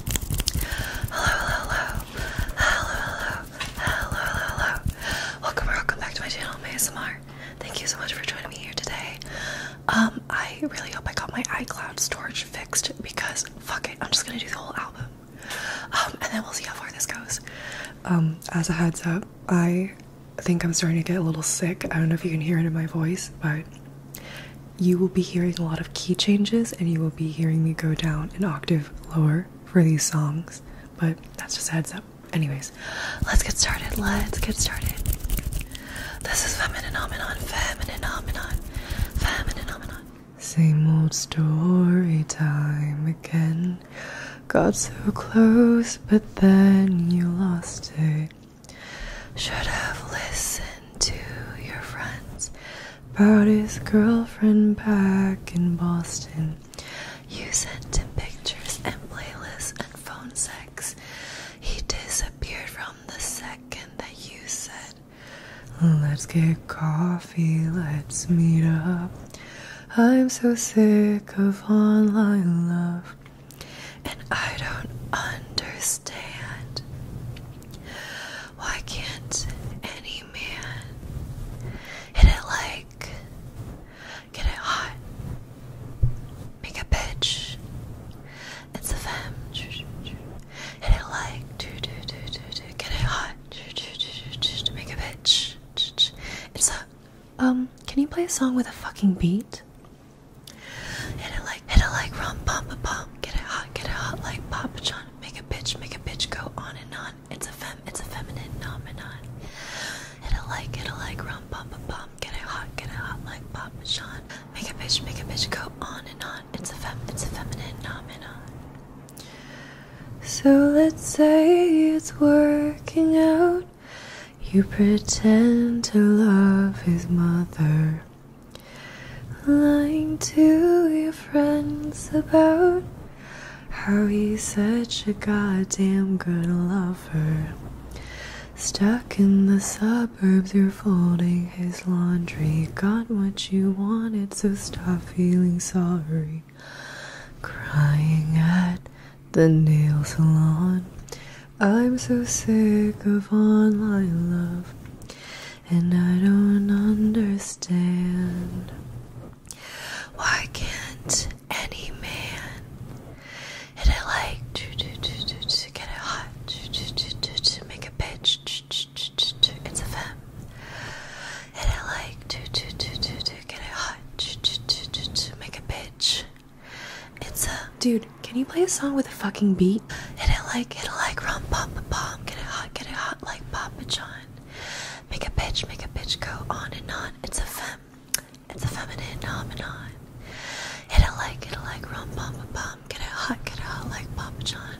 hello, hello, hello, hello, hello, hello. Welcome or welcome back to my channel, ASMR. Thank you so much for joining me here today. Um, I really hope I got my iCloud storage fixed because fuck it, I'm just gonna do the whole album. Um, and then we'll see how far this goes. Um, as a heads up, I think I'm starting to get a little sick. I don't know if you can hear it in my voice, but you will be hearing a lot of key changes and you will be hearing me go down an octave lower for these songs, but that's just a heads up. Anyways, let's get started. Let's get started. This is Femininomenon, Femininomenon, Femininomenon. Same old story time again. Got so close, but then you lost it. Should have listened to your friends about his girlfriend back in Boston. You sent him pictures and playlists and phone sex. He disappeared from the second that you said, Let's get coffee, let's meet up. I'm so sick of online love, and I don't understand. Why can't any man hit it like get it hot? Make a bitch. It's a femme. Hit it like do do do do do. Get it hot. Do, do, do, do, do. Make a bitch. It's a um. Can you play a song with a fucking beat? Hit it like hit it like rum pum pum. Get it hot. Get it hot like Papa John. Make a bitch, make a bitch go on and on. It's a fem, it's a feminine phenomenon. Hit a like, hit a like, rum, bum, bum, bum. Get it hot, get it hot like Pop Sean. Make a bitch, make a bitch go on and on. It's a fem, it's a feminine phenomenon. So let's say it's working out. You pretend to love his mother lying to your friends about how he's such a goddamn good lover. Stuck in the suburbs, you're folding his laundry. Got what you wanted, so stop feeling sorry. Crying at the nail salon. I'm so sick of online love and I don't understand. Why can't any man hit it like to get it hot to make a pitch? It's a femme. Hit it like to get it hot to make a pitch. It's a dude. Can you play a song with a fucking beat? beat. Hit it like, hit it like, rum, pop, bomb. Get it hot, get it hot like Papa John. Make a bitch, make a bitch go on and on. It's a fem, it's a feminine phenomenon. Hit it like, hit it like, rum, pop, bomb. Get it hot, get it hot like Papa John.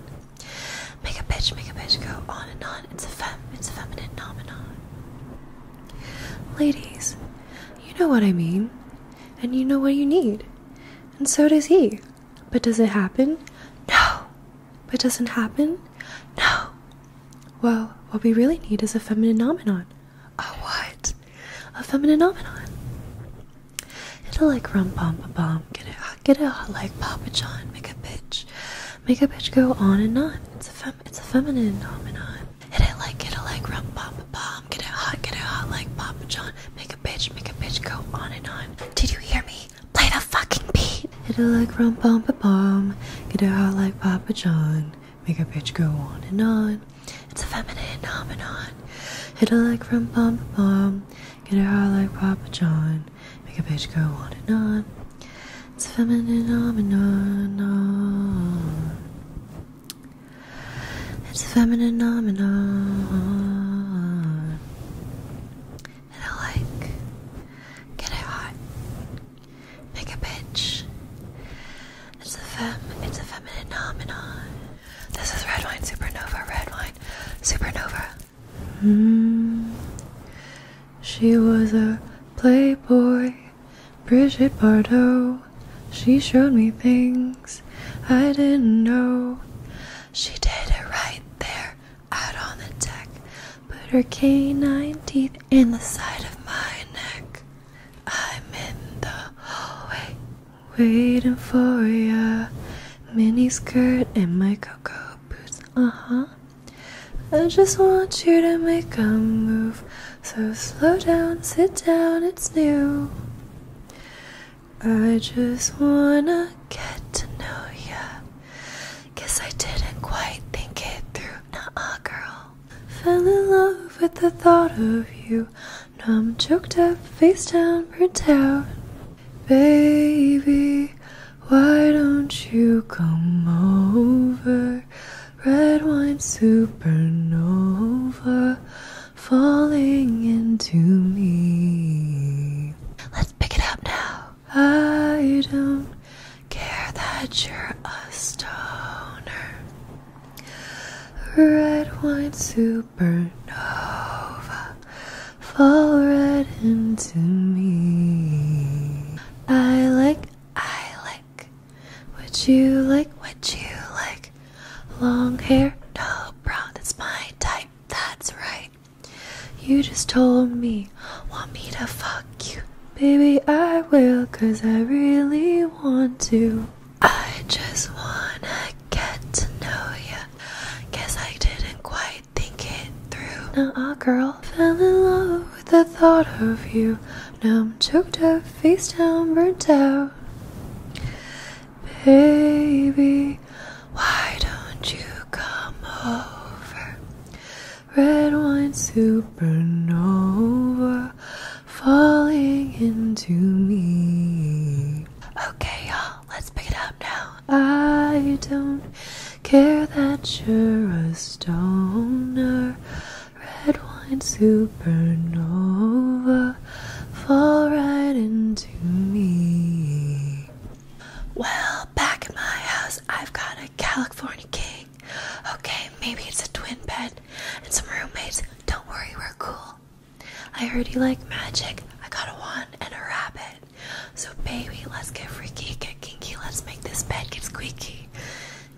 Make a bitch, make a bitch go on and on. It's a fem, it's a feminine phenomenon. Ladies, you know what I mean, and you know what you need, and so does he. But does it happen? No. But doesn't happen? No. Well, what we really need is a feminine nomenon. A what? A feminine nomenon. It'll like rum pom pom pom. Get it hot, get it hot like Papa John. Make a bitch, make a bitch go on and on. It's a fem, it's a feminine nomenon. Hit it like, get it like rum pom pom pom. Get it hot, get it hot like Papa John. Make a bitch, make a bitch go on and on. Did you hear me? Play the fucking beat. Hit it like rum pom pa pom. Get it hot like Papa John. Make a bitch go on and on. It's a feminine phenomenon. Hit it like rum pom pa pom. Get it hot like Papa John. Make a bitch go on and on. It's a feminine phenomenon. It's a feminine phenomenon and they like, get it hot, make a bitch. It's a fem, it's a feminine nomenon. This is red wine supernova, red wine supernova. Mm. She was a playboy, Bridget Bardot. She showed me things I didn't know. She did it right there out on the deck, put her canine teeth in the side of my neck. I'm in the hallway, waiting for ya. Mini skirt and my cocoa boots, uh huh. I just want you to make a move. So slow down, sit down, it's new. I just wanna get to know you. Guess I didn't quite think it through. Nuh girl. Fell in love with the thought of you. Now I'm choked up, face down, burnt out. Baby, why don't you come over? Red wine supernova falling into me pick it up now. I don't care that you're a stoner. Red wine supernova. Fall right into me. I like, I like. What you like, what you like. Long hair, no brown, that's my type, that's right. You just told me, want me to fuck you. Baby, I will, cause I really want to. I just wanna get to know you. Guess I didn't quite think it through. Now, girl fell in love with the thought of you. Now I'm choked up, face down, burnt out. Baby, why don't you come over? Red wine supernova falling into me. Okay, y'all, let's pick it up now. I don't care that you're a stoner. Red wine supernova fall right into me. Well, back at my house, I've got a California king. Okay, maybe it's a twin bed and some roommates. Don't worry, we're cool. I heard you like magic. I got a wand and a rabbit. So, baby, let's get freaky, get kinky. Let's make this bed get squeaky.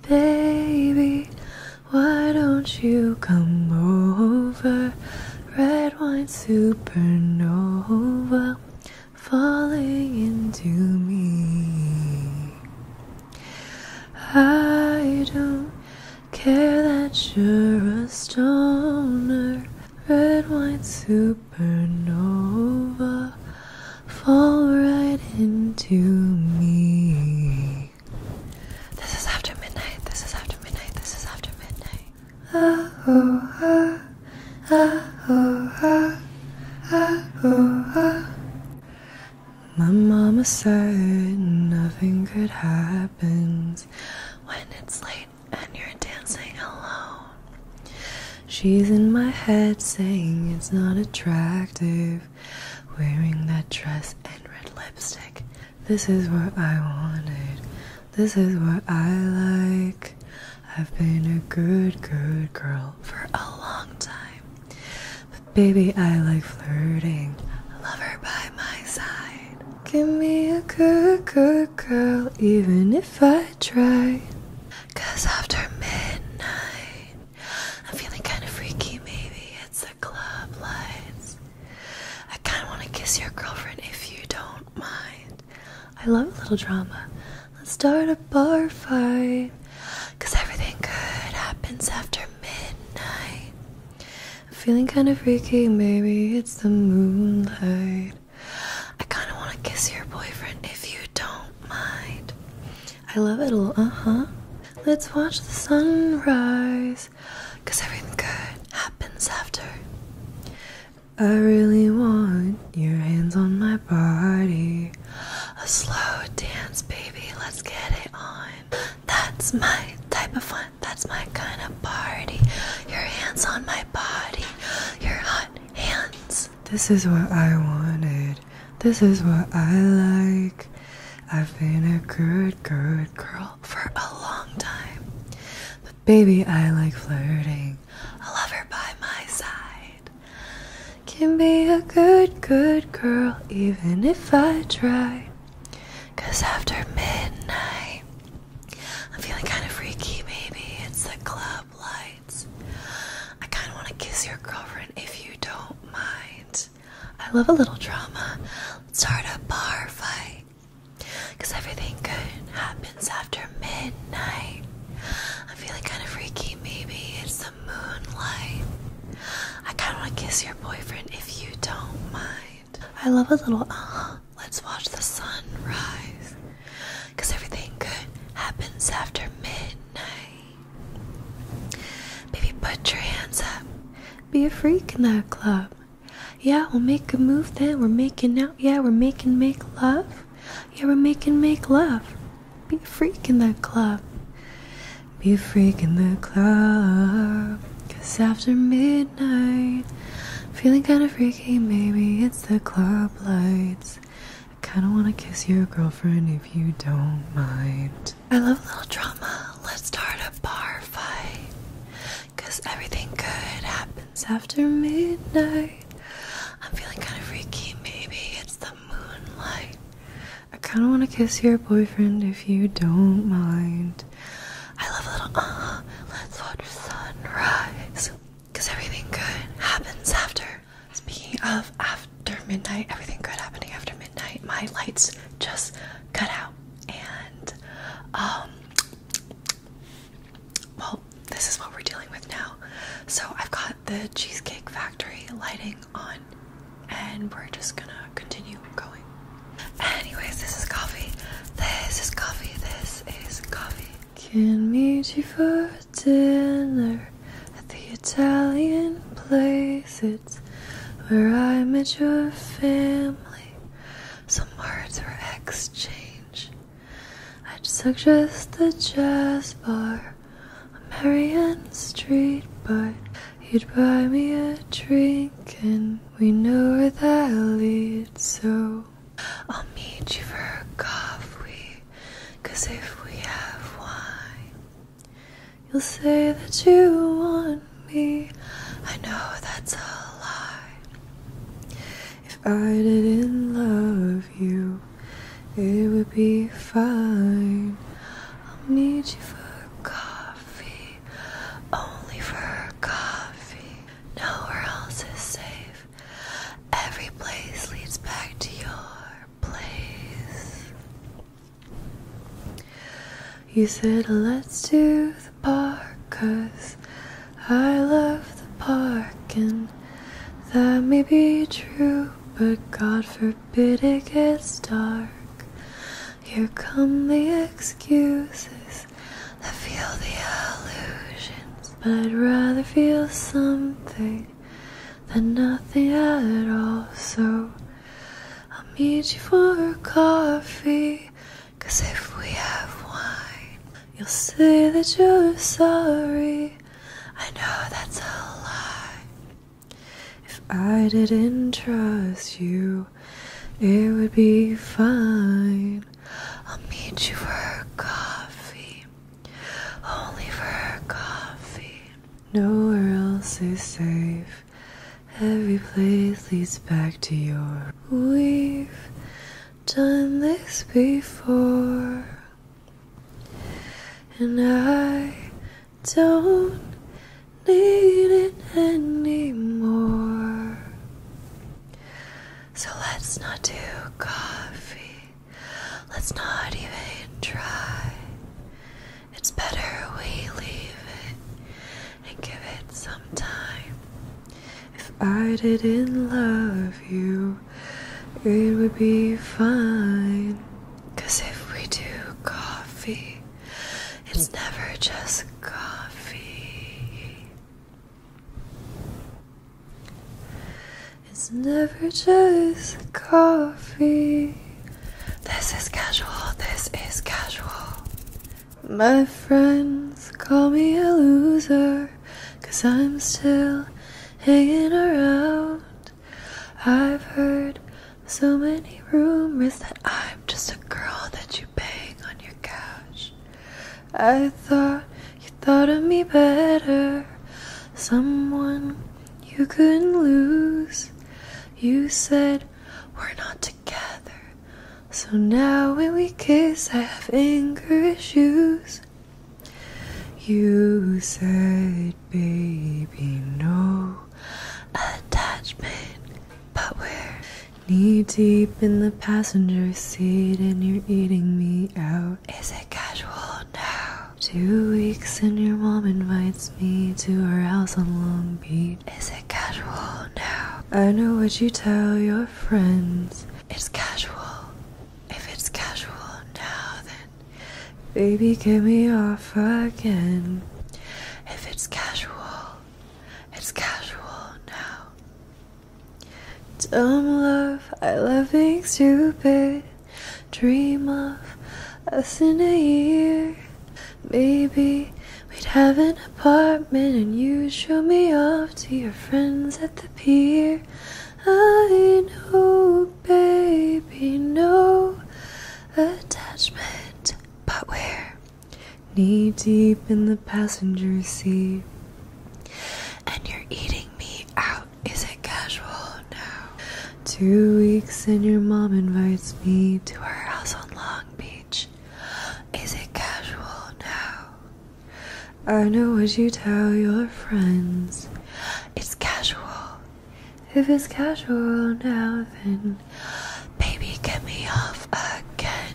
Baby, why don't you come over? Red wine supernova falling into me. I don't care that you're a stoner, red wine supernova, fall right into me. This is after midnight, this is after midnight, this is after midnight ah oh ah, ah oh ah, ah oh ah. My mama said nothing good happens when it's late and you're dancing alone. She's in my head saying it's not attractive wearing that dress and red lipstick. This is what I wanted. This is what I like. I've been a good, good girl for a long time. But baby, I like flirting. I love her by my side. Give me a good, good girl, even if I try. Cause after midnight, I'm feeling kinda freaky, maybe it's the club lights. I kinda wanna kiss your girlfriend if you don't mind. I love a little drama. Let's start a bar fight. Cause everything good happens after midnight. I'm feeling kinda freaky, maybe it's the moonlight. I kinda wanna kiss your boyfriend if you don't mind. I love it a little, uh huh. Let's watch the sunrise. Cause everything good happens after I really want your hands on my body. A slow dance, baby, let's get it on. That's my type of fun, that's my kind of party. Your hands on my body, your hot hands. This is what I wanted, this is what I like. I've been a good, good girl for a long time. Baby, I like flirting. A lover by my side can be a good, good girl, even if I try. Cause after midnight, I'm feeling kind of freaky, maybe it's the club lights. I kind of want to kiss your girlfriend if you don't mind. I love a little drama. Let's start a bar fight. Because everything good happens after midnight. I'm feeling kind of freaky, maybe. It's the moonlight. I kind of want to kiss your boyfriend if you don't mind. I love a little, uh huh. Let's watch the sun rise. Because everything good happens after midnight. Baby, put your hands up. Be a freak in that club. Yeah, we'll make a move then. We're making out. Yeah, we're making make love. Yeah, we're making make love. Be a freak in the club. Be a freak in the club. Cause after midnight, feeling kinda freaky, maybe it's the club lights. I kinda wanna kiss your girlfriend if you don't mind. I love a little drama. Let's start a bar fight. Cause everything good happens happens after midnight. I'm feeling kind of freaky, maybe it's the moonlight. I kind of want to kiss your boyfriend if you don't mind. I love a little, uh, let's watch sunrise. Because everything good happens after. Speaking of after midnight, everything good happening after midnight, my lights just cut out. And, um, well, this is what we're dealing with now. So I've got the Cheesecake Factory lighting on, and we're just gonna continue going. Anyways, this is coffee. This is coffee. This is coffee. Can meet you for dinner at the Italian place. It's where I met your family. Some words were exchanged. I'd suggest the jazz bar on Marion Street, bar. you'd buy me a drink, and we know where that leads, so I'll meet you for a coffee, 'cause if we have wine, you'll say that you want me. I know that's a lie. If I didn't love you, it would be fine. I'll meet you for coffee, only for coffee. Nowhere else is safe. Every place leads back to your place. You said, Let's do the bar, cause I love the park, and that may be true, but God forbid it gets dark. Here come the excuses that feel the illusions, but I'd rather feel something than nothing at all. So I'll meet you for coffee, cause if we have wine, You'll say that you're sorry. I know that's a lie. If I didn't trust you, it would be fine. I'll meet you for coffee, only for coffee. Nowhere else is safe. Every place leads back to your weave done this before, and I don't need it anymore. So let's not do coffee, let's not even try. It's better we leave it and give it some time. If I didn't love you, it would be fine. Cause if we do coffee, it's never just coffee. It's never just coffee. This is casual, this is casual. My friends call me a loser. Cause I'm still hanging around. I've heard so many rumors that I'm just a girl that you bang on your couch. I thought you thought of me better. Someone you couldn't lose. You said we're not together. So now when we kiss, I have anger issues. You said, baby, no attachment, but we're knee deep in the passenger seat and you're eating me out. Is it casual now? Two weeks and your mom invites me to her house on Long Beach. Is it casual now? I know what you tell your friends. It's casual if it's casual now, then baby, get me off again. If it's casual, it's casual now. Dumb love, I love being stupid. Dream of us in a year. Maybe we'd have an apartment and you'd show me off to your friends at the pier. I know, baby, no attachment, but we're knee deep in the passenger seat. And you're eating me out. Is it casual now? Two weeks and your mom invites me to her house on Long Beach. Is it casual now? I know what you tell your friends. It's casual. If it's casual now, then baby, get me off again.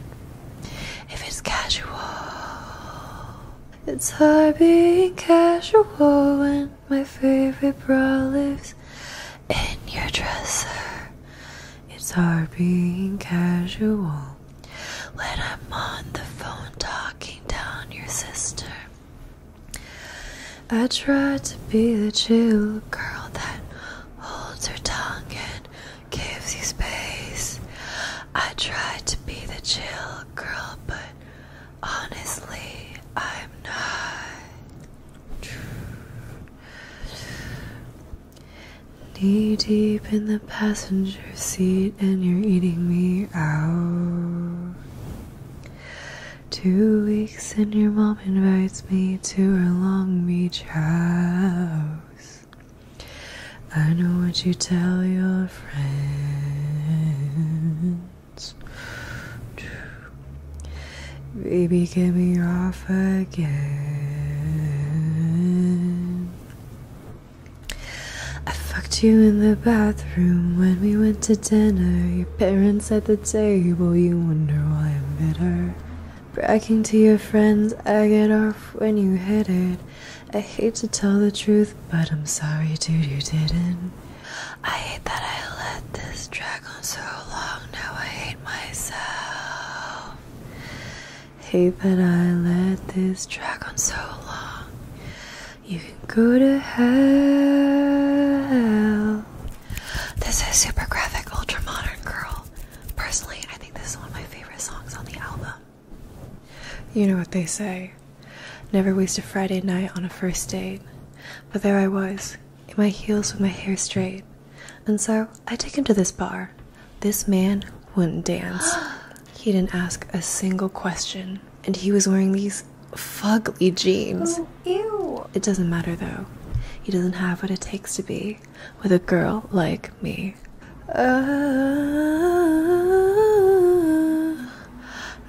If it's casual, it's hard being casual when my favorite bra lives in your dresser. It's hard being casual when I'm on the phone talking down your sister. I tried to be the chill girl that holds her tongue and gives you space. I tried to be the chill girl, but honestly, I'm not. Knee deep in the passenger your seat and you're eating me out. Two weeks and your mom invites me to her Long Beach house. I know what you tell your friends. Baby, get me off again. I fucked you in the bathroom when we went to dinner. Your parents at the table, you wonder why I'm bitter. Bragging to your friends, I get off when you hit it. I hate to tell the truth, but I'm sorry, dude, you didn't. I hate that I let this drag on so long, now I hate myself. Hey, but I let this drag on so long. You can go to hell. This is super graphic, ultra modern girl. Personally, I think this is one of my favorite songs on the album. You know what they say never waste a Friday night on a first date. But there I was, in my heels with my hair straight. And so I take him to this bar. This man wouldn't dance. He didn't ask a single question, and he was wearing these fugly jeans. Oh, ew. It doesn't matter though. He doesn't have what it takes to be with a girl like me. Uh,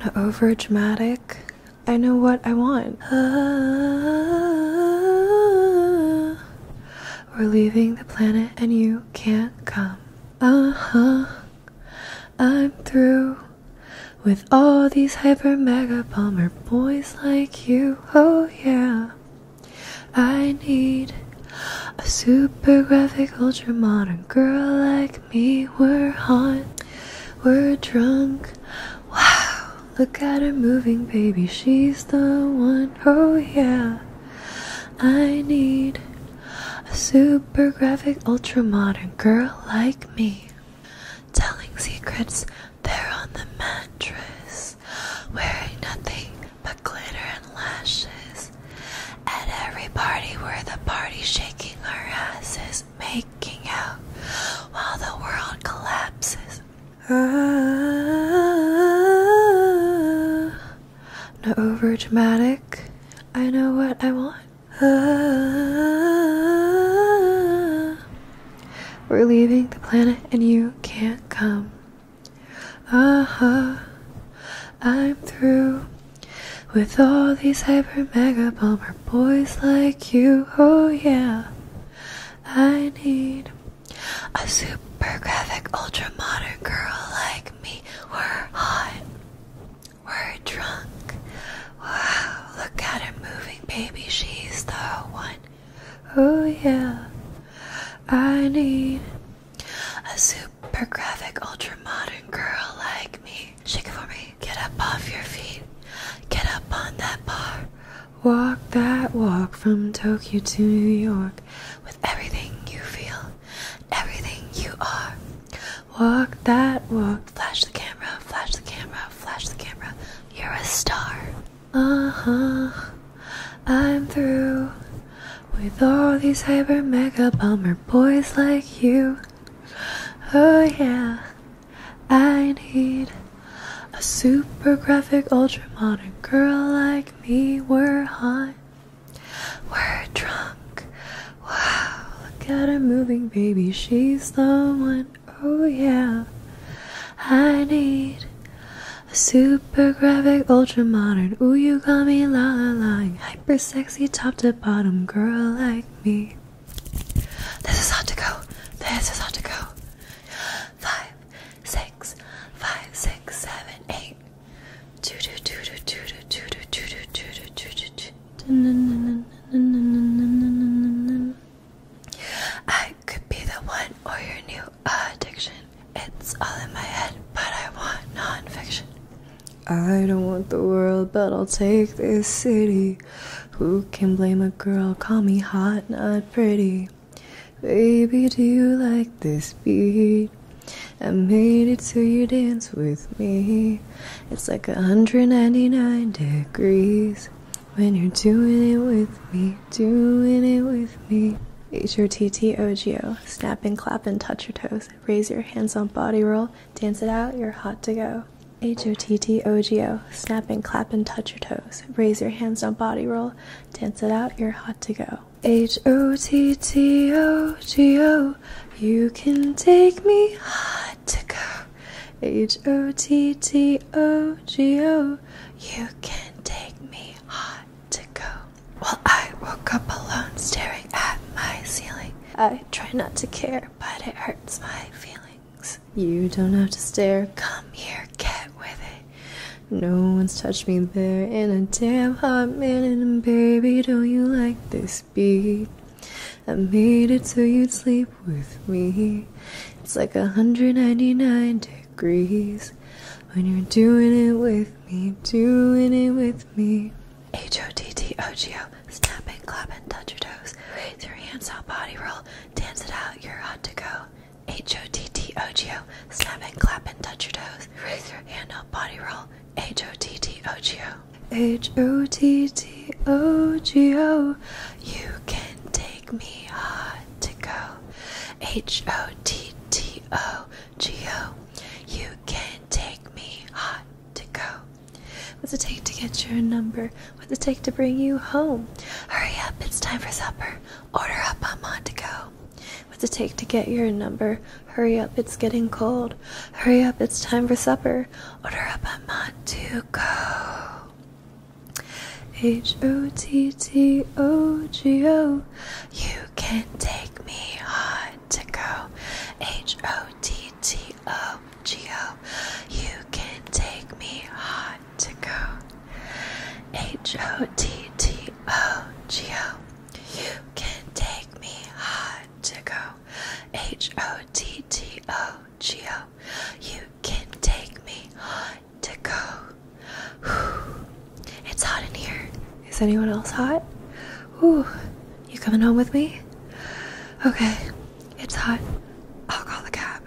not over dramatic. I know what I want. Uh, we're leaving the planet and you can't come. Uh huh. I'm through with all these hyper mega bomber boys like you. Oh, yeah. I need a super graphic, ultra modern girl like me. We're hot, we're drunk. Wow, look at her moving, baby. She's the one. Oh, yeah. I need a super graphic, ultra modern girl like me, telling secrets there on the mattress, wearing nothing but glitter and lashes. At every party, we're the party shaking our asses, making out while the world collapses. Ah, not overdramatic. I know what I want. we're leaving the planet and you can't come. Uh huh. I'm through with all these hyper mega bomber boys like you. Oh yeah. I need a super graphic ultra modern girl like me. We're hot. We're drunk. Wow, look at her moving, baby. She's the one. Oh, yeah. I need a super graphic, ultra modern girl like me. Shake it for me. Get up off your feet. Get up on that bar. Walk that walk from Tokyo to New York with everything you feel everything you are. Walk that walk. Flash the camera, flash the camera, flash the camera. You're a star. Uh huh. I'm through with all these hyper mega bummer boys like you. Oh yeah. I need a super graphic ultra modern girl like me. We're hot. We're drunk. Wow, look at her moving, baby. She's the one. Oh, yeah. I need a super graphic, ultra modern. Ooh, you got me la la lying. Hyper sexy, top to bottom, girl like me. This is hot to go. This is hot to go. Five, six, five, six, seven, eight. I could be the one or your new addiction. It's all in my head, but I want nonfiction. I don't want the world, but I'll take this city. Who can blame a girl? Call me hot, not pretty. Baby, do you like this beat? I made it so you dance with me. It's like 199 degrees when you're doing it with me, doing it with me. H O T T O G O. Snap and clap and touch your toes. Raise your hands on body roll. Dance it out. You're hot to go. H O T T O G O. Snap and clap and touch your toes. Raise your hands on body roll. Dance it out. You're hot to go. H O T T O G O, you can take me hot to go. H O T T O G O, you can take me hot to go. Well, I woke up alone staring at my ceiling. I try not to care, but it hurts my feelings. You don't have to stare, come here, get with it. No one's touched me there in a damn hot minute, and baby, don't you like this? speed. I made it so you'd sleep with me. It's like 199 degrees when you're doing it with me, doing it with me. H O T T O G O. Snap and clap and touch your toes. Raise your hands up, body roll. Dance it out, you're hot to go. H O T T O G O. Snap and clap and touch your toes. Raise your hand up, body roll. H O T T O G O. H O T T O G O. You can take me hard to go. H O T T O G O. You can take me hard to go. What's it take to get your number? What's it take to bring you home? Hurry up, it's time for supper. Order up, I'm on to go. What's it take to get your number? Hurry up, it's getting cold. Hurry up, it's time for supper. Order up, I'm on to go. H O T T O G O. You can take me on to go. H O T T O G O. You can take me on to go. H O T T O G O. You can take me on to go, H O T T O G O. You can take me to go. It's hot in here. Is anyone else hot? Ooh, you coming home with me? Okay, it's hot. I'll call the cab.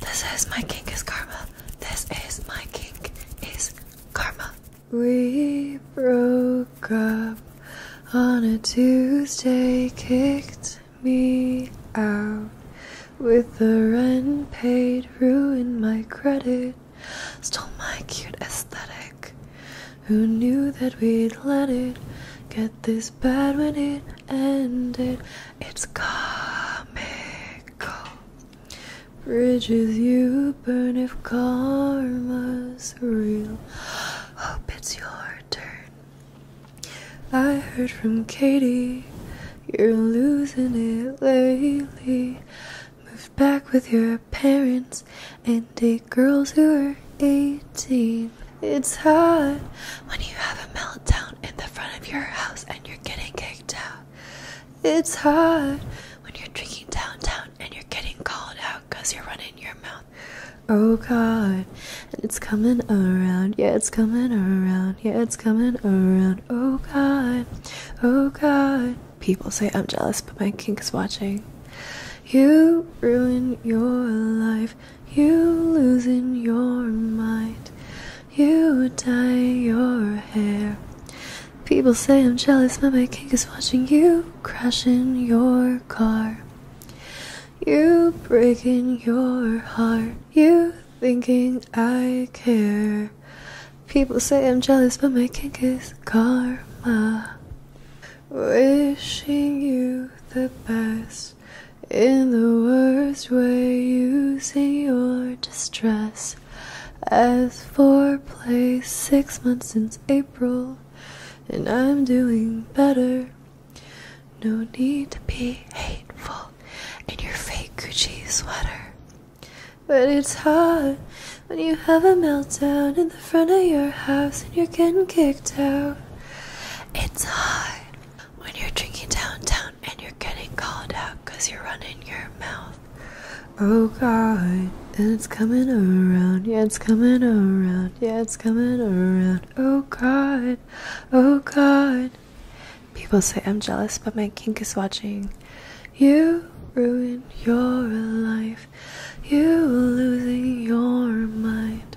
This is my kink is karma. This is my kink is karma. We broke up on a Tuesday, kicked me out with the rent paid, ruined my credit, stole my cute aesthetic. Who knew that we'd let it get this bad when it ended? It's comical. Bridges you burn if karma's is real. Hope it's your turn. I heard from Katie, you're losing it lately. Moved back with your parents and date girls who are 18. It's hard when you have a meltdown in the front of your house and you're getting kicked out. It's hard when you're drinking downtown and you're getting called out because you're running your mouth. Oh God, and it's coming around. Yeah, it's coming around. Yeah, it's coming around. Oh God, oh God. People say I'm jealous, but my kink is watching. You ruin your life. You losing your mind. You dye your hair. People say I'm jealous, but my king is watching you crashing your car. You breaking your heart. You thinking I care. People say I'm jealous, but my kink is karma. Wishing you the best in the worst way, using your distress. As for play, six months since April and I'm doing better. No need to be hateful in your fake Gucci sweater. But it's hard when you have a meltdown in the front of your house and you're getting kicked out. It's hard when you're drinking downtown and you're getting called out because you're running your mouth. Oh God, And it's coming around, yeah, it's coming around, yeah, it's coming around. Oh God, oh God. People say I'm jealous, but my kink is watching. You ruin your life, you losing your mind,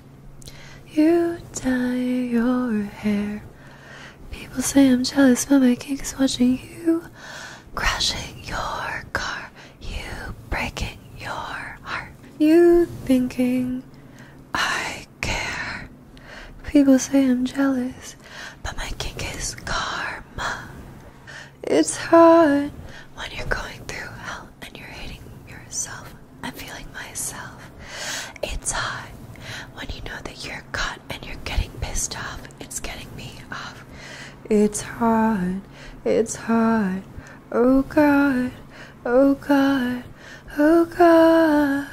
you dye your hair. People say I'm jealous, but my kink is watching you crashing your car. You breaking your heart. You thinking I care. People say I'm jealous, but my kink is karma. It's hard when you're going through hell and you're hating yourself. I'm feeling myself. It's hard when you know that you're caught and you're getting pissed off. It's getting me off. It's hard, it's hard. Oh God, oh God, oh God.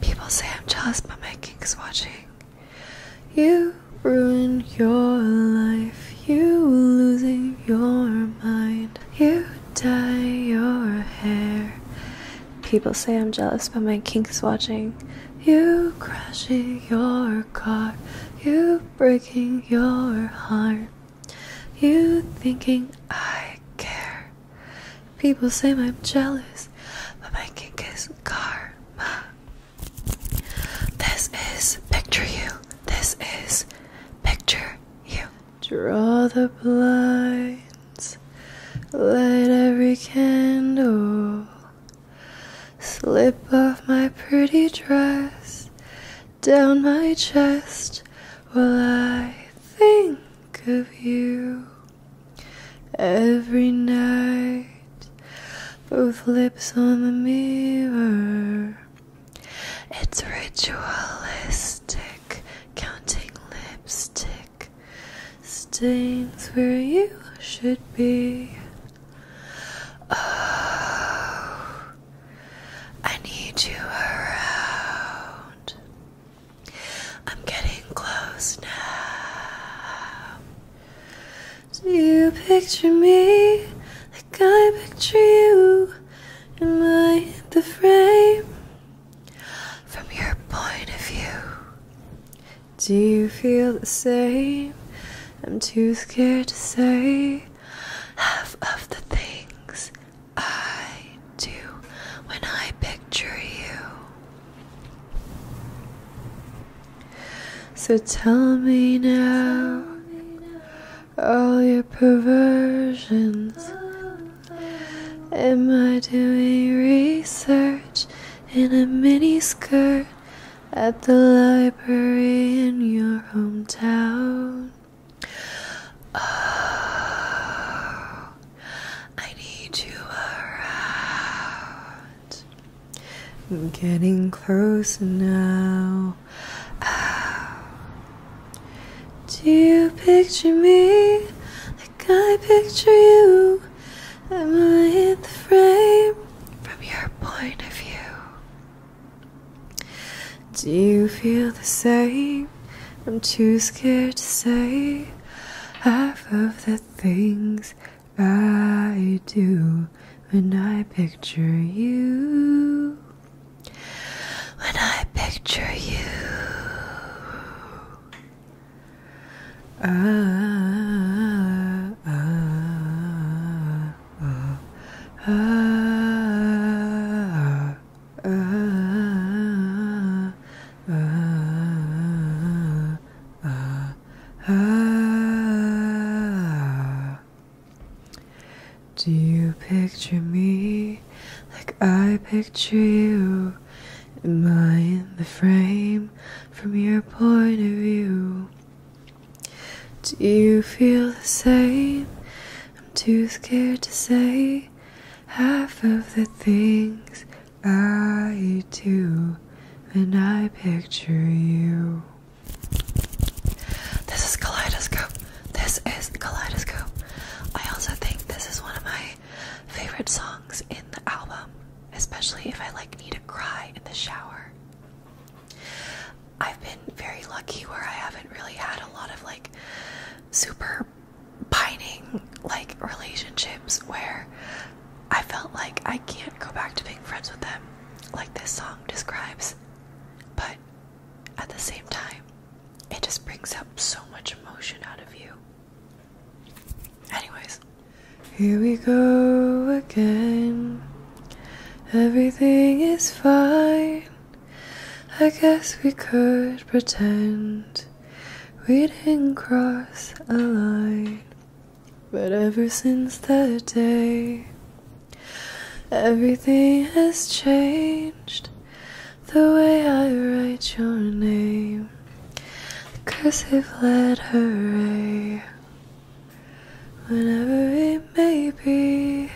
People say I'm jealous, but my king's watching. You ruin your life, you losing your mind. You dye your hair. People say I'm jealous, but my king's watching. You crashing your car, you breaking your heart. You thinking I care. People say I'm jealous, but my kink is karma. This is picture you. This is picture you. Draw the blinds, light every candle. Slip off my pretty dress down my chest while I think of you every night. Both lips on the mirror. It's ritualistic, counting lipstick stains where you should be. Oh, I need you around. I'm getting close now. Do you picture me like I picture you? Am I in the frame? From your point of view, do you feel the same? I'm too scared to say half of the things I do when I picture you. So tell me now all your perversions. Am I doing research in a mini skirt? at the library in your hometown. Oh, I need you around. I'm getting close now. Do you picture me like I picture you? Am I in the frame from your point of view? Do you feel the same? I'm too scared to say half of the things I do when I picture you. When I picture you, ah, ah, ah ah, ah, ah, ah, ah, ah, ah. Do you picture me like I picture you? Am I in the frame from your point of view? Do you feel the same? I'm too scared to say half of the things I do when I picture you. This is Kaleidoscope. This is Kaleidoscope. I also think this is one of my favorite songs in the album, especially if I like need to cry in the shower. I've been very lucky where I haven't really had a lot of like super pining like relationships where I felt like I can't go back to being friends with them like this song describes. But at the same time, it just brings up so much emotion out of you. Anyways, here we go again. Everything is fine. I guess we could pretend we didn't cross a line. But ever since that day, everything has changed. The way I write your name, the cursive letter A whenever it may be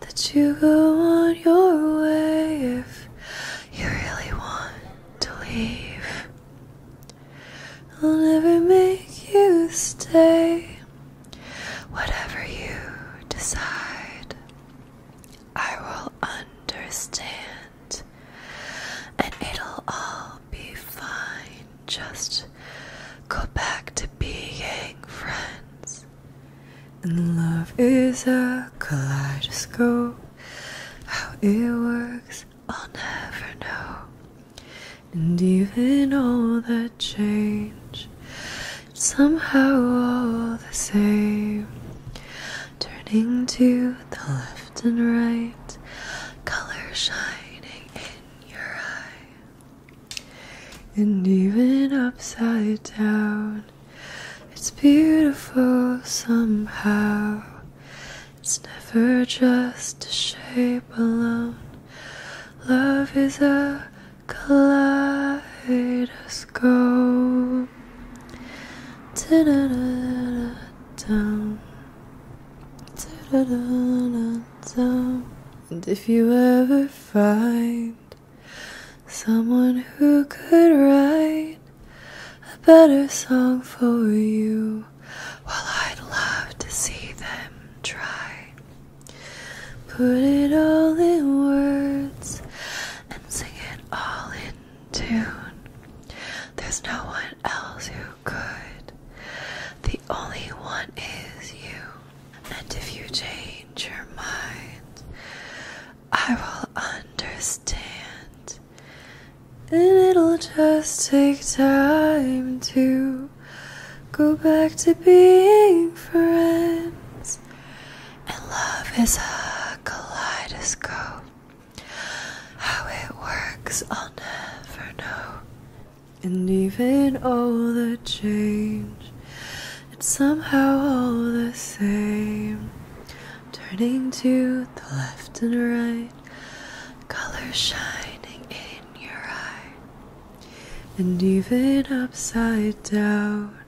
that you go on your way if you really want to leave. I'll never make you stay, whatever you decide, I will understand, and it'll all be fine just go back to being friends. And love is a kaleidoscope. How it works, I'll never know. And even all that change, somehow all the same. Turning to the left and right, color shining in your eye and even upside down. It's beautiful somehow. It's never just a shape alone. Love is a kaleidoscope. Da da da da da da da da da and if you ever find someone who could write a better song for you, well, I'd love to see them try. Put it all in words and sing it all in tune. There's no one else who good. The only one is you. And if you change your mind, I will understand. And it'll just take time to go back to being friends. And love is a kaleidoscope. How it works, I'll never know and even all the change, it's somehow all the same. Turning to the left and right, colors shining in your eye. And even upside down,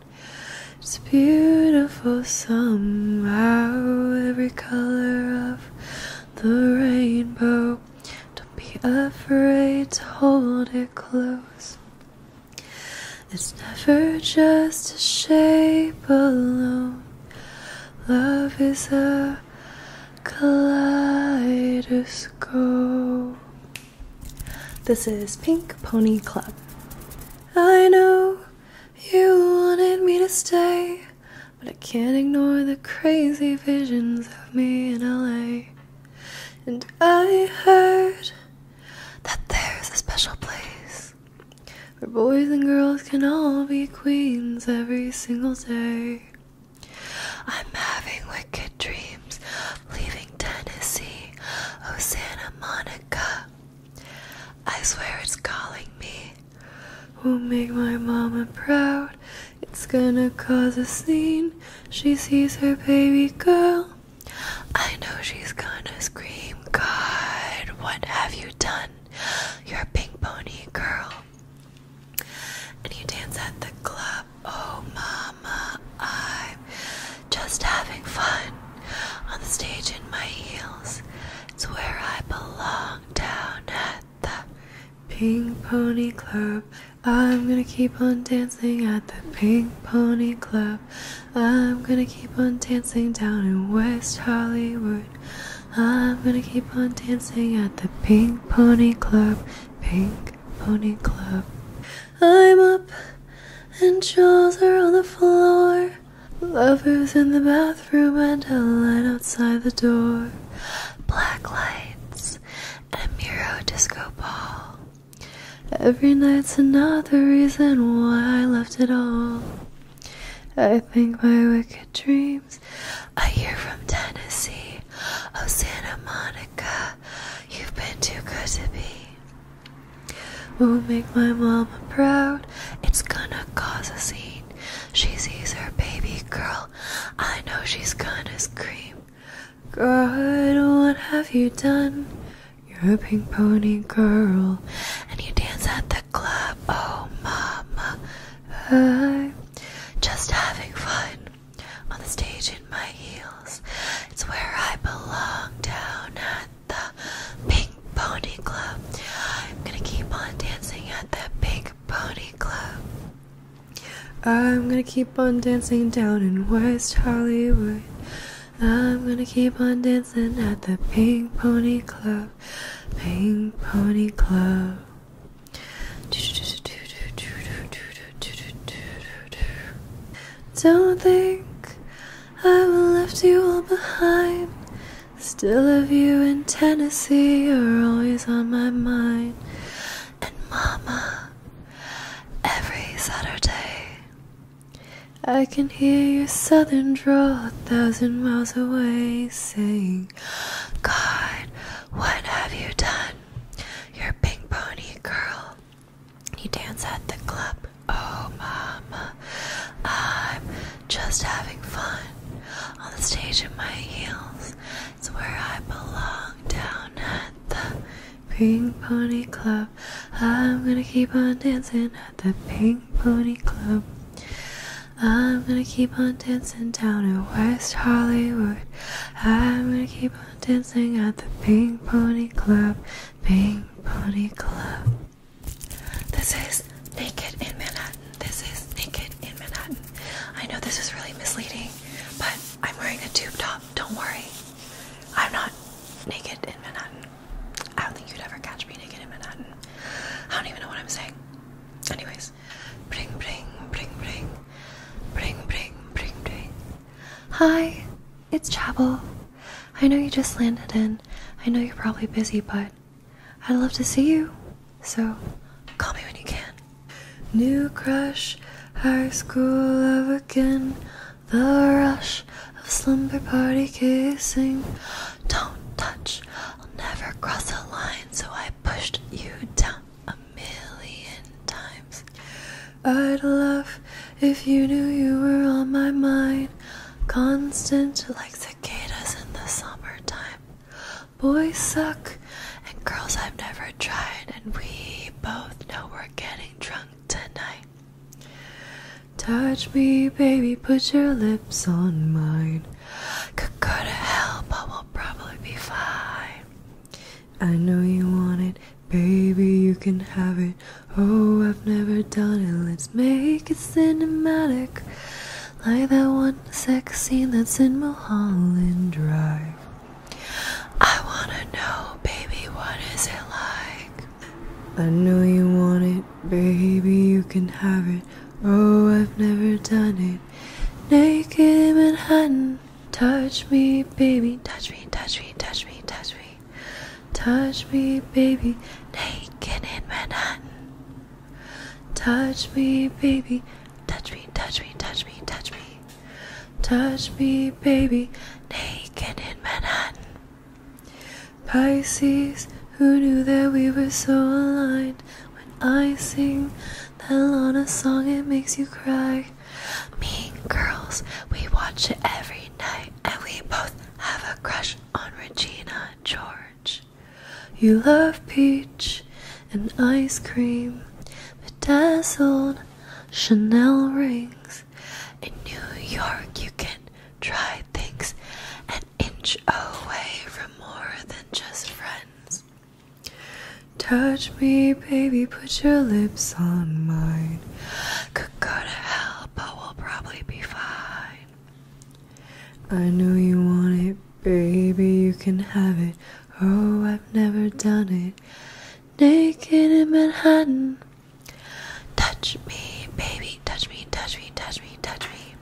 it's beautiful somehow. Every color of the rainbow. Don't be afraid to hold it close. It's never just a shape alone. Love is a kaleidoscope. This is Pink Pony Club. I know you wanted me to stay, but I can't ignore the crazy visions of me in LA. And I heard that there's a special place where boys and girls can all be queens every single day. I'm having wicked dreams, of leaving Tennessee, oh Santa Monica. I swear it's calling me. Will make my mama proud. It's gonna cause a scene. She sees her baby girl. I know she's gonna scream, God, what have you done? You're pink pony girl. And you dance at the club. Oh, mama, I'm just having fun on the stage in my heels. It's where I belong down the Pink Pony Club. I'm gonna keep on dancing at the Pink Pony Club. I'm gonna keep on dancing down in West Hollywood. I'm gonna keep on dancing at the Pink Pony Club. Pink Pony Club. I'm up and jaws are on the floor. Lovers in the bathroom and a line outside the door. Black lights house and Miro Disco Ball. Every night's another reason why I left it all. I think my wicked dreams. I hear from Tennessee, oh Santa Monica, you've been too good to be. Will make my mama proud. It's gonna cause a scene. She sees her baby girl. I know she's gonna scream. Girl, what have you done? You're a pink pony girl, and you dance at the club. Oh, mama, I'm just having fun on the stage in my heels. It's where I belong down at the Pink Pony Club. I'm gonna keep on dancing at the Pink Pony Club. I'm gonna keep on dancing down in West Hollywood. I'm gonna keep on dancing at the Pink Pony Club. Pink Pony Club. Don't think i will leave you all behind. Still, of you in Tennessee are always on my mind and Mama every Saturday. I can hear your southern draw a thousand miles away saying, God, what have you done? Your pink pony girl. You dance at the club. Oh, Mama, I'm just having fun on the stage in my heels. That's where I belong down at the Pink Pony Club. I'm gonna keep on dancing at the Pink Pony Club. I'm gonna keep on dancing down in West Hollywood. I'm gonna keep on dancing at the Pink Pony Club. Pink Pony Club. This is Naked in Manhattan. This is Naked in Manhattan. I know this is really misleading, but I'm wearing a tube top. Don't worry. I'm not naked in Manhattan. I don't think you'd ever catch me naked in Manhattan. I don't even know what I'm saying. Anyways, bring, bring, bring, bring, bring, bring, bring, bring. Hi, it's Chapel. I know you just landed in. I know you're probably busy, but I'd love to see you. So call me when you can. New crush, high school love again. The rush of slumber party kissing. Don't touch, I'll never cross a line, so I pushed you down a million times. I'd love if you knew you were on my mind. Constant like cicadas in the summertime boys suck and girls I've never tried, and we both know we're getting drunk tonight. Touch me, baby, put your lips on mine. Could go to hell, but we'll probably be fine. I know you want it, baby, you can have it. Oh, I've never done it, let's make it cinematic. Like that one sex scene that's in Mulholland Drive. I wanna know, baby, what is it like? I know you want it, baby, you can have it. Oh, I've never done it. Naked in Manhattan. Touch me, baby, touch me, touch me, touch me, touch me. Touch me, baby, naked in Manhattan. Touch me, baby, touch me, touch me, touch me, touch me. Touch me, baby, naked in Manhattan. Pisces, who knew that we were so aligned? When I sing that Lana song, it makes you cry. Mean girls, we watch it every night, and we both have a crush on Regina George. You love peach, and ice cream, bedazzled Chanel rings. In New York, you can try things an inch away from more than just friends. Touch me, baby, put your lips on mine. Could go to hell, but we'll probably be fine. I know you want it, baby, you can have it. Oh, I've never done it naked in Manhattan. Touch me, baby, touch me, touch me, touch me, touch me.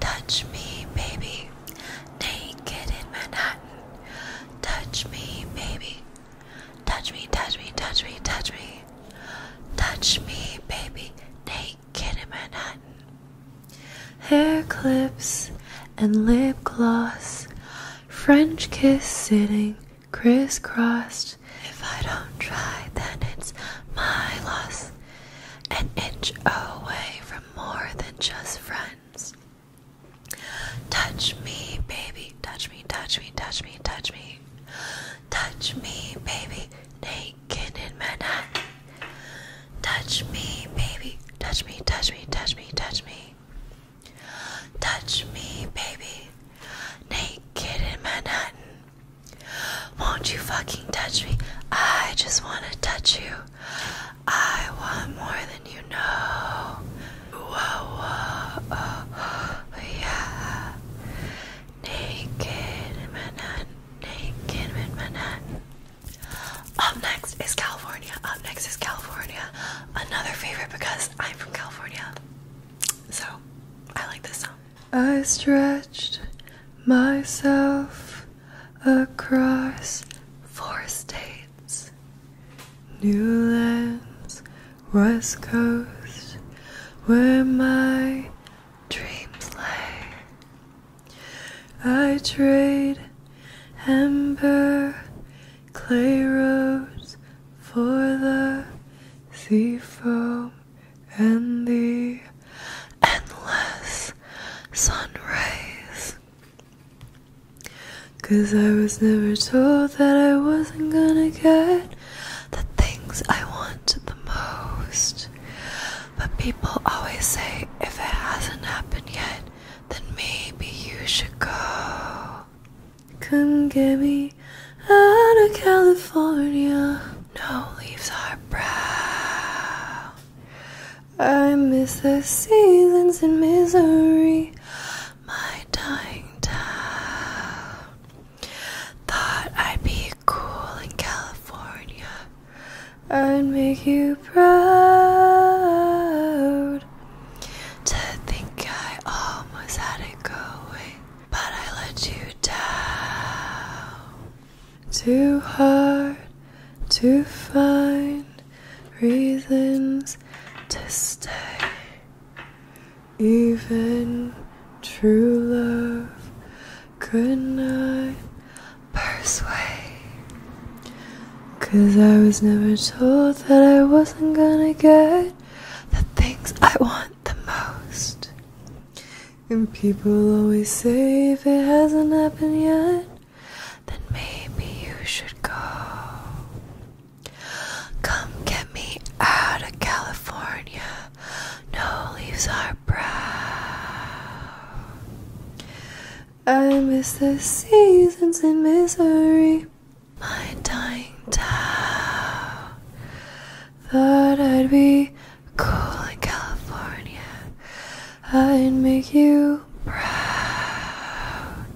Touch me, baby, naked in Manhattan. Touch me, baby. Touch me, touch me, touch me, touch me. Touch me, baby, naked in Manhattan. Hair clips and lip gloss. French kiss sitting crisscrossed. If I don't try, then it's my loss. An inch away from more than just friends. Touch me, baby. Touch me, touch me, touch me, touch me. Touch me, baby. Naked in Manhattan. Touch me, baby. Touch me, touch me, touch me, touch me. Touch me, baby. Naked in Manhattan. Won't you fucking touch me? I just wanna touch you. I want more than you know. Whoa, whoa, oh, yeah. Naked in Manhattan. Naked in Manhattan. Up next is California. Up next is California. Another favorite because I'm from California. So I like this song. I stretched myself across four states New lands, West Coast, where my dreams lay. I trade amber clay rose for the sea foam and the endless sun Cause I was never told that I wasn't gonna get the things I want the most. But people always say if it hasn't happened yet, then maybe you should go. Come get me out of California. No leaves are brown. I miss the seasons in misery, my dying town. Thought I'd be cool in California. I'd make you proud. To think I almost had it going, but I let you down. Too hard to find reasons to stay. Even true love could not persuade Cause I was never told that I wasn't gonna get the things I want the most. And people always say if it hasn't happened yet, then maybe you should go. Come get me out of California. No leaves are brown. I miss the seasons in misery. My dying town. Thought I'd be cool in California. I'd make you proud.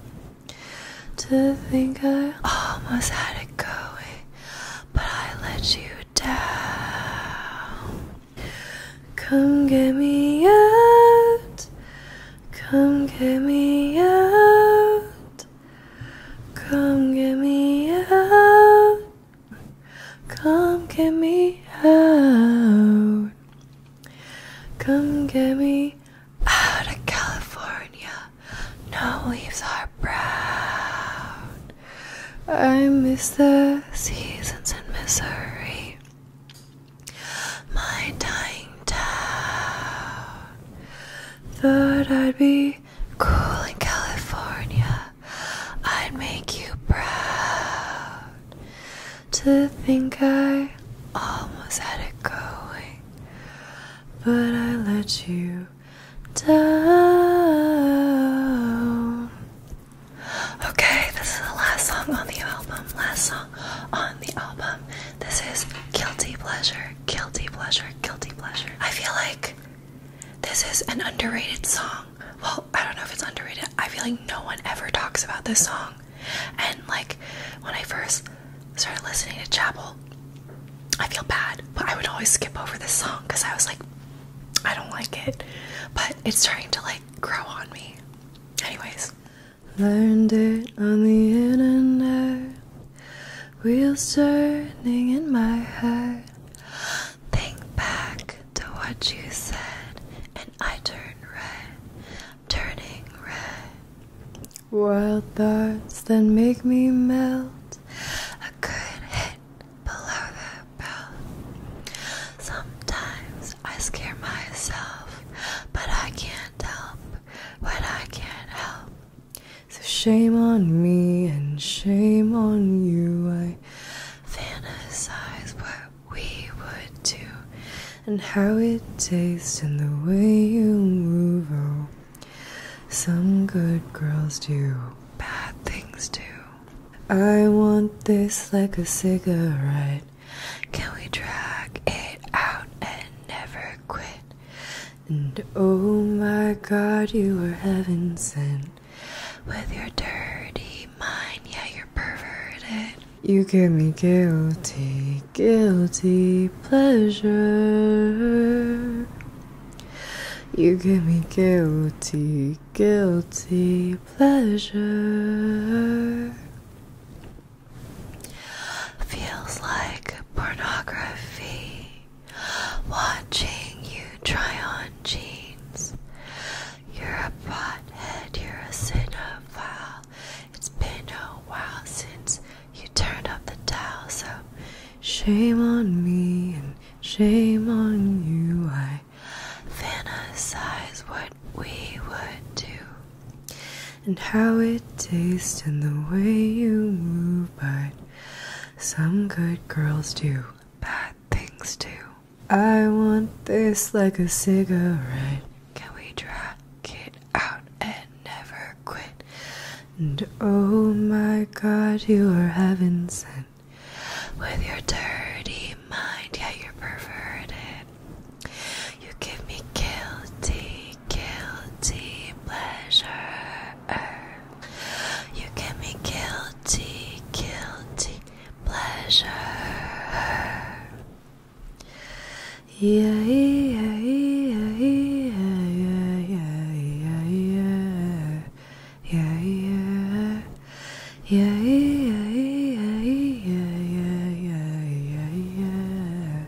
To think I almost had it going, but I let you down. Come get me out. Come get me out. Come get me out. Come get me out. Come get me out of California. No leaves are brown. I miss the seasons in Missouri my dying down. Thought I'd be cool in California. I'd make you proud to think I almost had it going, but I let you down. Okay, this is the last song on the album, last song on the album. This is Guilty Pleasure, Guilty Pleasure, Guilty Pleasure. I feel like this is an underrated song. Well, I don't know if it's underrated. I feel like no one ever talks about this song. And like when I first started listening to Chapel, I feel bad, but I would always skip over this song because I was like, I don't like it. But it's starting to like grow on me. Anyways, Learned it on the internet. Wheels turning in my head. Think back to what you said, and I turn red, turning red. Wild thoughts that make me melt. A good hit below the belt. Sometimes I scare myself, but I can't help but I can't help. So shame on me and shame on you. I fantasize what we would do and how it tastes and the way you move. Oh, some good girls do bad things too. I want this like a cigarette. Can we drag it out and never quit? And oh my god, you were heaven sent. With your dirty mind, yeah, you're perverted. You give me guilty, guilty pleasure. You give me guilty, guilty pleasure. Feels like pornography. Watching you try on jeans. You're a pothead, you're a cinephile. It's been a while since you turned up the towel, so shame on me and shame on you. I fantasize what we would do and how it tastes and the way you move. But some good girls do bad things too. I want this like a cigarette. Can we drag it out and never quit? And oh my god, you are heaven sent with your dirty mind. Yeah, you're perverted. You give me guilty, guilty pleasure. You give me guilty, guilty pleasure. Yeah, yeah, yeah, yeah, yeah, yeah, yeah, yeah, yeah, yeah, yeah, yeah, yeah, yeah, yeah, yeah,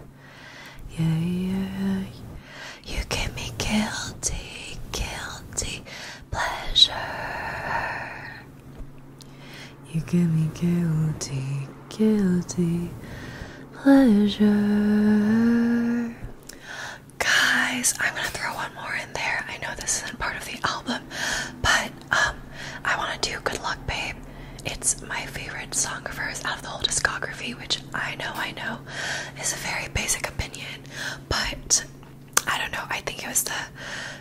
yeah, yeah. You give me guilty, guilty pleasure. You give me guilty, guilty pleasure. Guys, I'm gonna throw one more in there. I know this isn't part of the album, but um, I wanna do Good Luck Babe it's my favorite song of hers out of the whole discography, which I know, I know, is a very basic opinion, but I don't know. I think it was the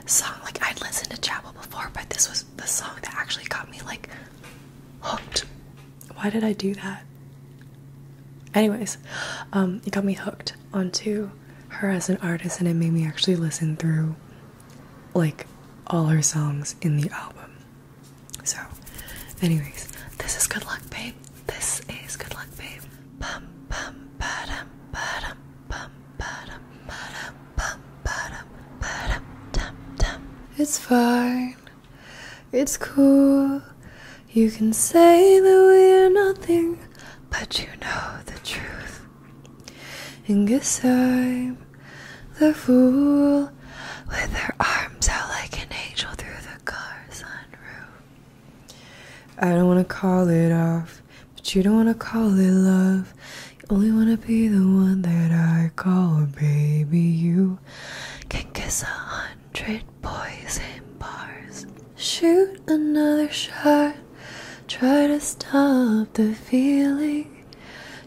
song, like, I'd listened to Chapel before, but this was the song that actually got me, like, hooked. Why did I do that? Anyways, um, it got me hooked onto her as an artist, and it made me actually listen through, like, all her songs in the album. So, anyways, this is good luck, babe. This is good luck, babe. It's fine. It's cool. You can say that we're nothing, but you know the truth. And guess I'm the fool with her arms out like an angel through the car sunroof. I don't want to call it off, but you don't want to call it love. You only want to be the one that I call, baby. You can kiss a hundred boys in bars, shoot another shot, try to stop the feeling.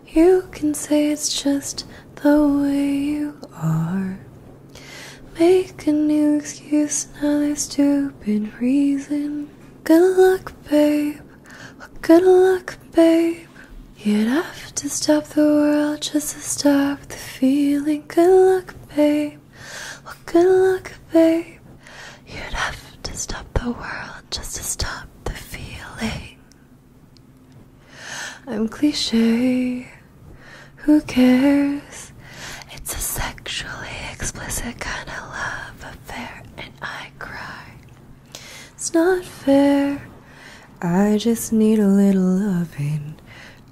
You can say it's just the way you are. Make a new excuse, another stupid reason. Good luck, babe. Well, good luck, babe. You'd have to stop the world just to stop the feeling. Good luck, babe. Well, good luck, babe. You'd have to stop the world just to stop the feeling. I'm cliche. Who cares? It's a sexually explicit kind of love affair, and I cry. It's not fair. I just need a little loving.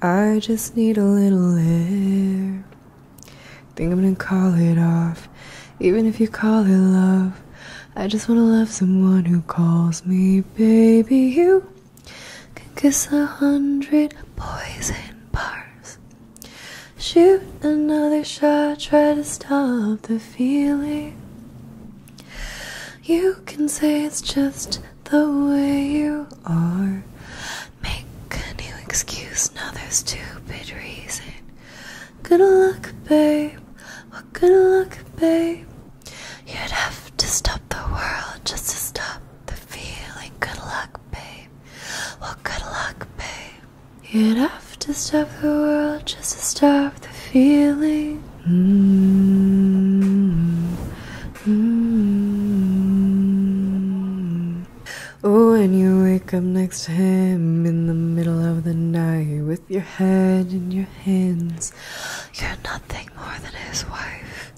I just need a little air. Think I'm gonna call it off, even if you call it love. I just wanna love someone who calls me baby. You can kiss a hundred poison bars. Shoot another shot, try to stop the feeling. You can say it's just the way you are. Make a new excuse, now there's stupid reason. Good luck, babe. Well, good luck, babe. You'd have to stop the world just to stop the feeling. Good luck, babe. Well, good luck, babe. You'd have to stop the world just to stop the feeling. Oh, mm-hmm. and mm-hmm. mm-hmm. you wake up next to him in the middle of the night with your head in your hands you're nothing more than his wife.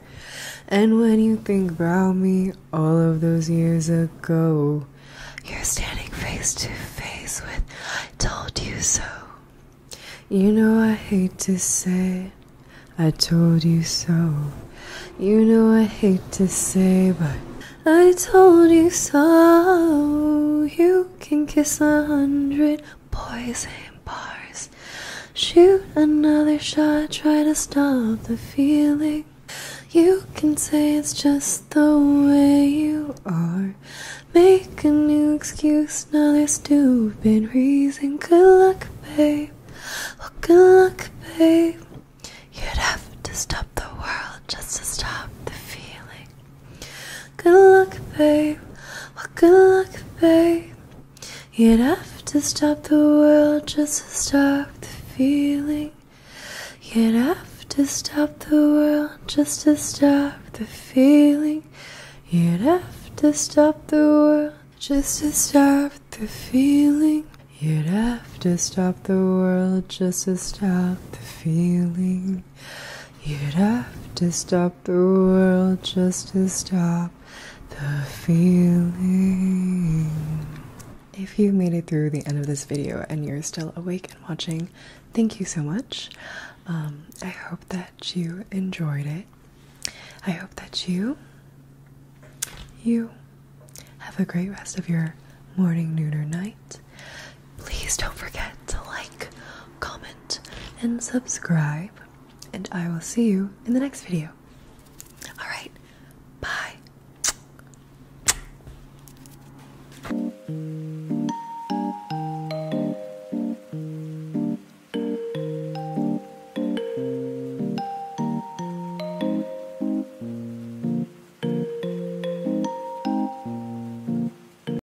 And when you think about me all of those years ago, you're standing face to face with I told you so. You know I hate to say I told you so. You know I hate to say, but I told you so. You can kiss a hundred poison bars. Shoot another shot, try to stop the feeling. You can say it's just the way you are. Make a new excuse, another stupid reason. Good luck, babe. Oh, good luck, babe. You'd have to stop the world just to stop the feeling. Good luck, babe. Well, good luck, babe. You'd have to stop the world just to stop the feeling. You'd have to stop the world just to stop the feeling. You'd have to stop the world just to stop the feeling. You'd have to stop the world just to stop the feeling. You'd have to stop the world just to stop the feeling. If you made it through the end of this video and you're still awake and watching, thank you so much. Um, I hope that you enjoyed it. I hope that you, you, have a great rest of your morning, noon, or night. Please don't forget to like, comment, and subscribe. And I will see you in the next video. Alright, bye.